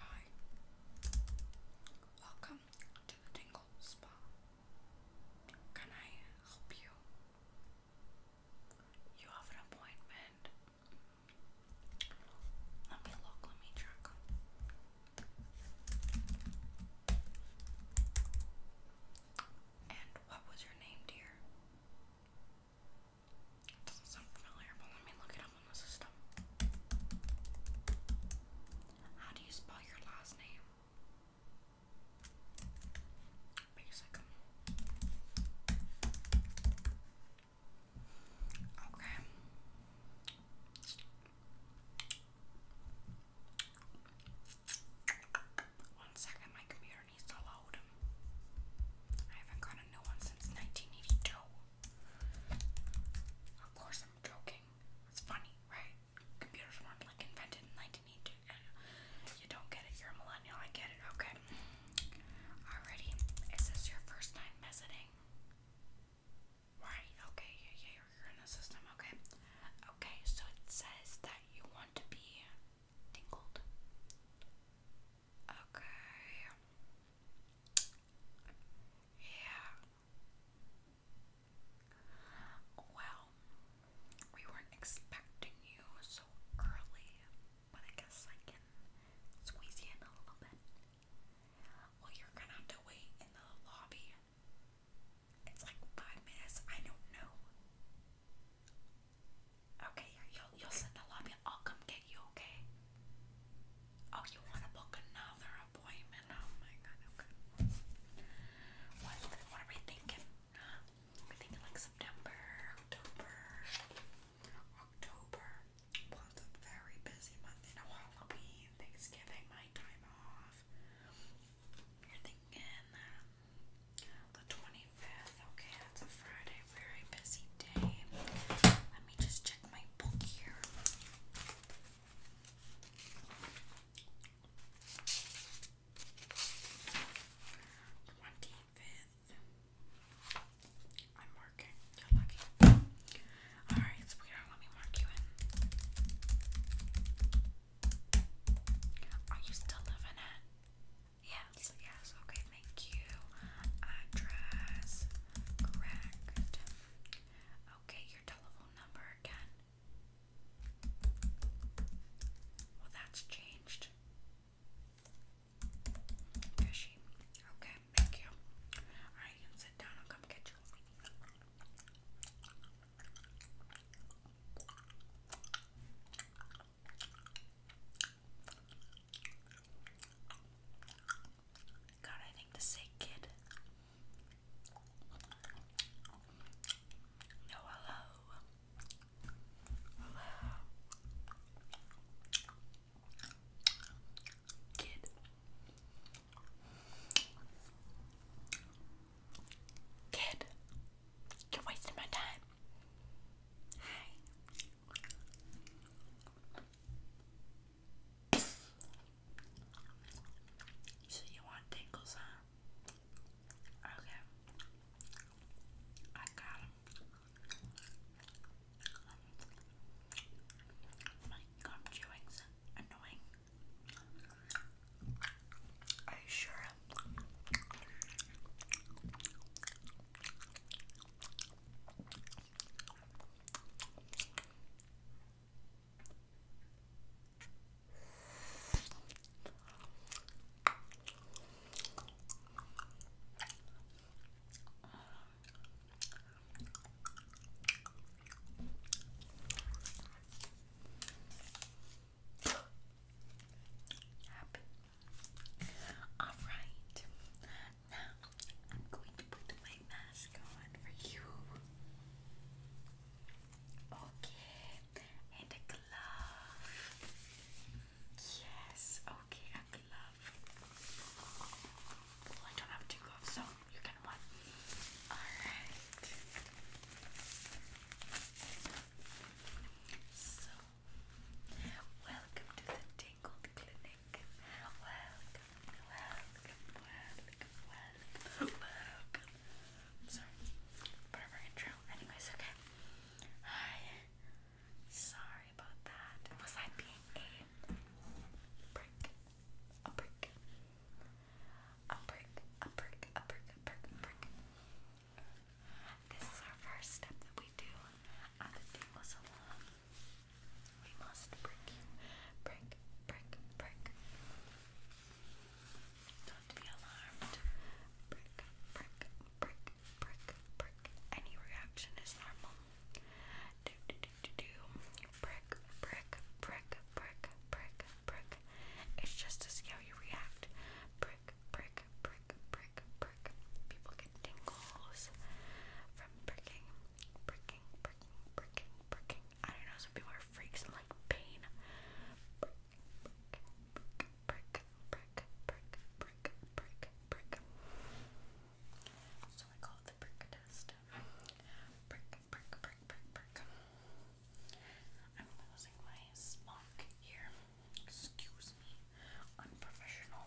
Hi, welcome to the Tingle Spa. Can I help you? You have an appointment. Let me look, let me check. And what was your name, dear? Doesn't sound familiar, let me look it up on How do you spell your last name? Basic. Okay. One second, my computer needs to load. I haven't got a new one since 1982. Of course, I'm joking. It's funny, right? Computers weren't like invented in 1982. Uh, you don't get it. You're a millennial. I get it. Okay. Alrighty. Is this your first time visiting? Right. Okay. Yeah. Yeah. You're in the system. Okay. Okay. So it says that you want to be tingled. Okay. Yeah. Well, we weren't expecting you so early, but I guess I can squeeze you in a little bit. Well, you're gonna have to wait in the lobby. It's like five minutes. I don't know. Okay, you'll you'll sit in the lobby. I'll come get you. Okay. Oh, you want to book another appointment? Oh my god, okay. What, what are we thinking? Huh? We're thinking like September, October, October. Well, a very busy month. You know, Halloween, Thanksgiving, my time off. You're thinking um, the 25th. Okay, that's a Friday. Very busy day. Let me just my book here. Twenty fifth. I'm marking. You're lucky. Alright, sweetheart, let me mark you in. Are you still living at? Yes, yes, okay, thank you. Address correct. Okay, your telephone number again. Well, that's changed. Okay, thank you. Alright, you can sit down. I'll come get you. God, I think to say kid. No, hello. Hello. Kid. Kid. You're wasting my time. Hi. So you want tingles, huh? Okay. I got them. My gum chewing's annoying. Are you sure? Happy. All right. Now I'm going to put my mask on for you. Okay, and a glove. Yes, okay, a glove. Well, oh, I don't have two gloves, so you can one. Alright. So, welcome to the day called Clinic. Welcome, welcome, welcome, welcome, welcome. sorry, part intro. Anyways, okay. Hi. Sorry about that. Was I being a prick? A prick. A prick, a prick, a prick, a prick, a prick. This is our first step that we do on the table so we must break Break, break, break. Don't be alarmed. Break, break, break, break, break. Any reaction is normal. Do, do, do, do, do. Break, break, break, break, break, break. It's just to see how you react. Break, break, break, break, break. People get tingles from pricking. Bricking, bricking, bricking, bricking. I don't know, some people are freaks like pain. Brick, brick, brick, brick, brick, brick, So I call it the brick test. Brick, brick, brick, brick, I'm losing my smock here. Excuse me. Unprofessional.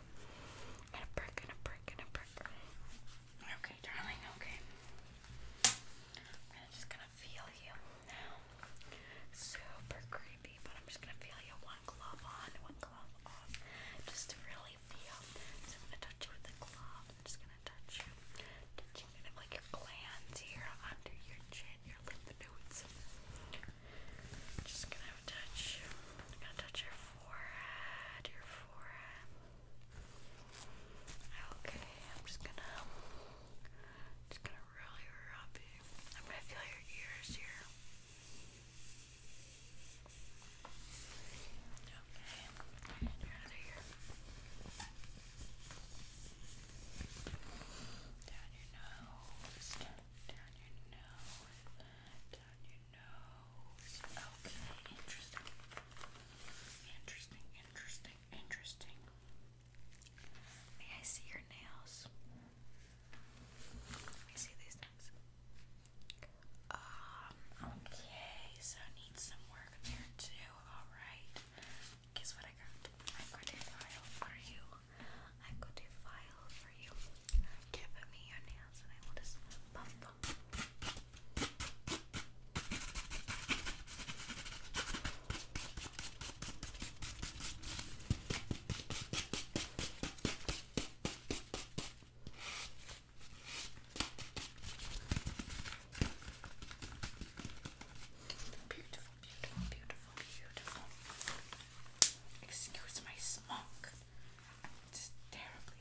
and a brick, and a brick, and a brick. Okay, darling, okay. I'm just gonna feel you now. Super creepy, but I'm just gonna feel you one glove on, one glove off. Just to really feel. I'm gonna touch you with the glove. I'm just gonna touch you. Touching kind of like your glands here under your chin, your lymph nodes. Just gonna touch you. gonna touch your forehead, your forehead. Okay, I'm just gonna, just gonna really rub you. I'm gonna feel your ears here. Okay, and your other ear. Down your nose, down your nose, down your nose. Okay, interesting. Interesting, interesting, interesting. May I see your nails? Let me see these things. Um, okay, so I need some work there too. Alright. Guess what I got? I got a file for you. I got a file for you. Give me your nails and I will just buff them. Beautiful, beautiful, beautiful, beautiful. Excuse my smoke. i terribly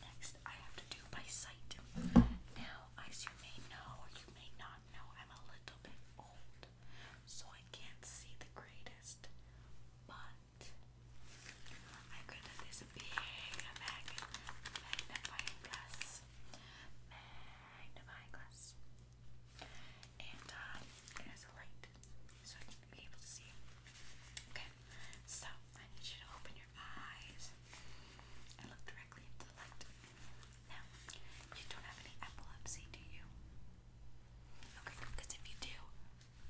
Next, I have to do my sight. Now, as you may know you may not know, I'm a little bit old, so I can't see the greatest. But I could this big magnifying glass. Magnifying glass. And uh, a light so I can be able to see. Okay, so I need you to open your eyes and look directly into the light. Now, you don't have any epilepsy, do you? Okay, because if you do,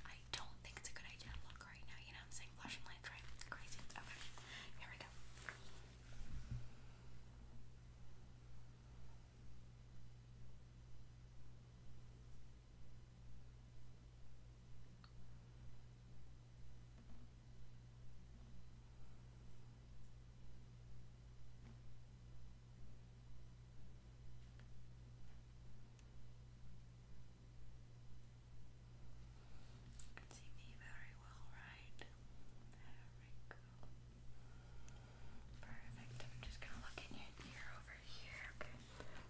I don't think it's a good idea to look right now. You know I'm saying? Flashing lights, right? Crazy. Okay, here we go. You can see me very well, right? There we Perfect. I'm just gonna look in your ear over over here. Okay,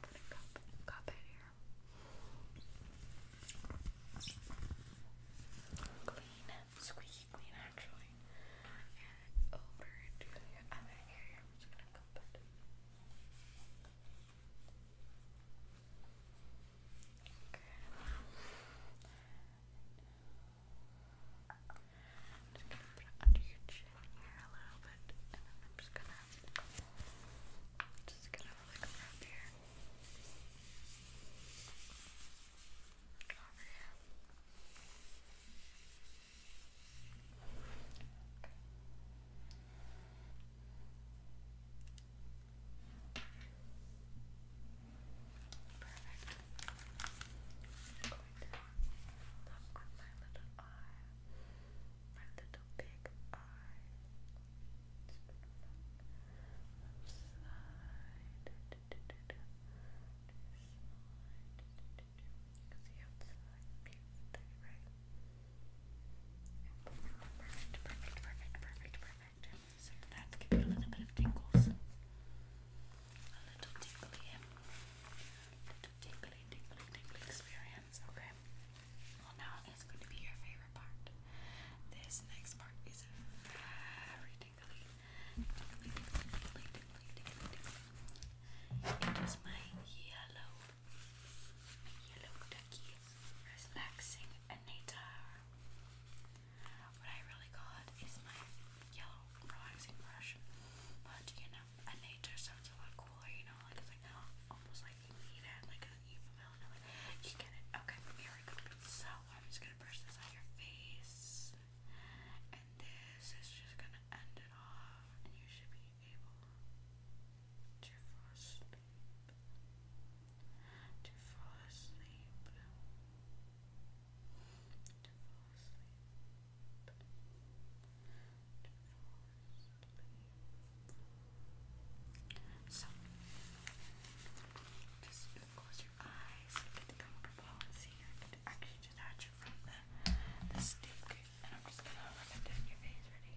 I'm cup, cup it here. Clean, squeaky clean actually. And over to the other area. just gonna cup it. Okay. under your here a little bit, and then I'm just gonna just gonna like rub here. here. Perfect. I'm going to look with my little eye, big you Perfect, perfect, perfect, perfect, perfect. So that's giving a little bit of tingles. A little tingly, a little tingly, tingly, tingly experience sense, okay? Well, now it's going to be your favorite part. This next part is very tingly. It is my yellow, yellow ducky relaxing anator. What I really call it is my yellow relaxing brush, but you know and they sounds a lot cooler, you know, like it's like almost like you need it, like an evil villain, you get it. Okay, here we go. So I'm just gonna brush this on your face, and this is just gonna end it off, and you should be able To fall asleep. To fall asleep. To fall asleep. So, just close your eyes, get the and see if I can actually detach it from the, the stick. And I'm just gonna rub it down your face, ready?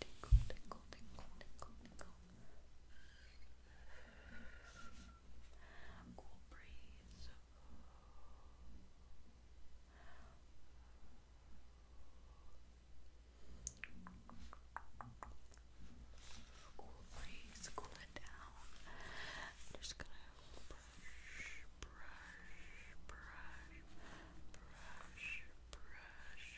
tingle, tingle, Cool breeze. Cool breeze, cool it down. just gonna brush, brush, brush, brush, brush,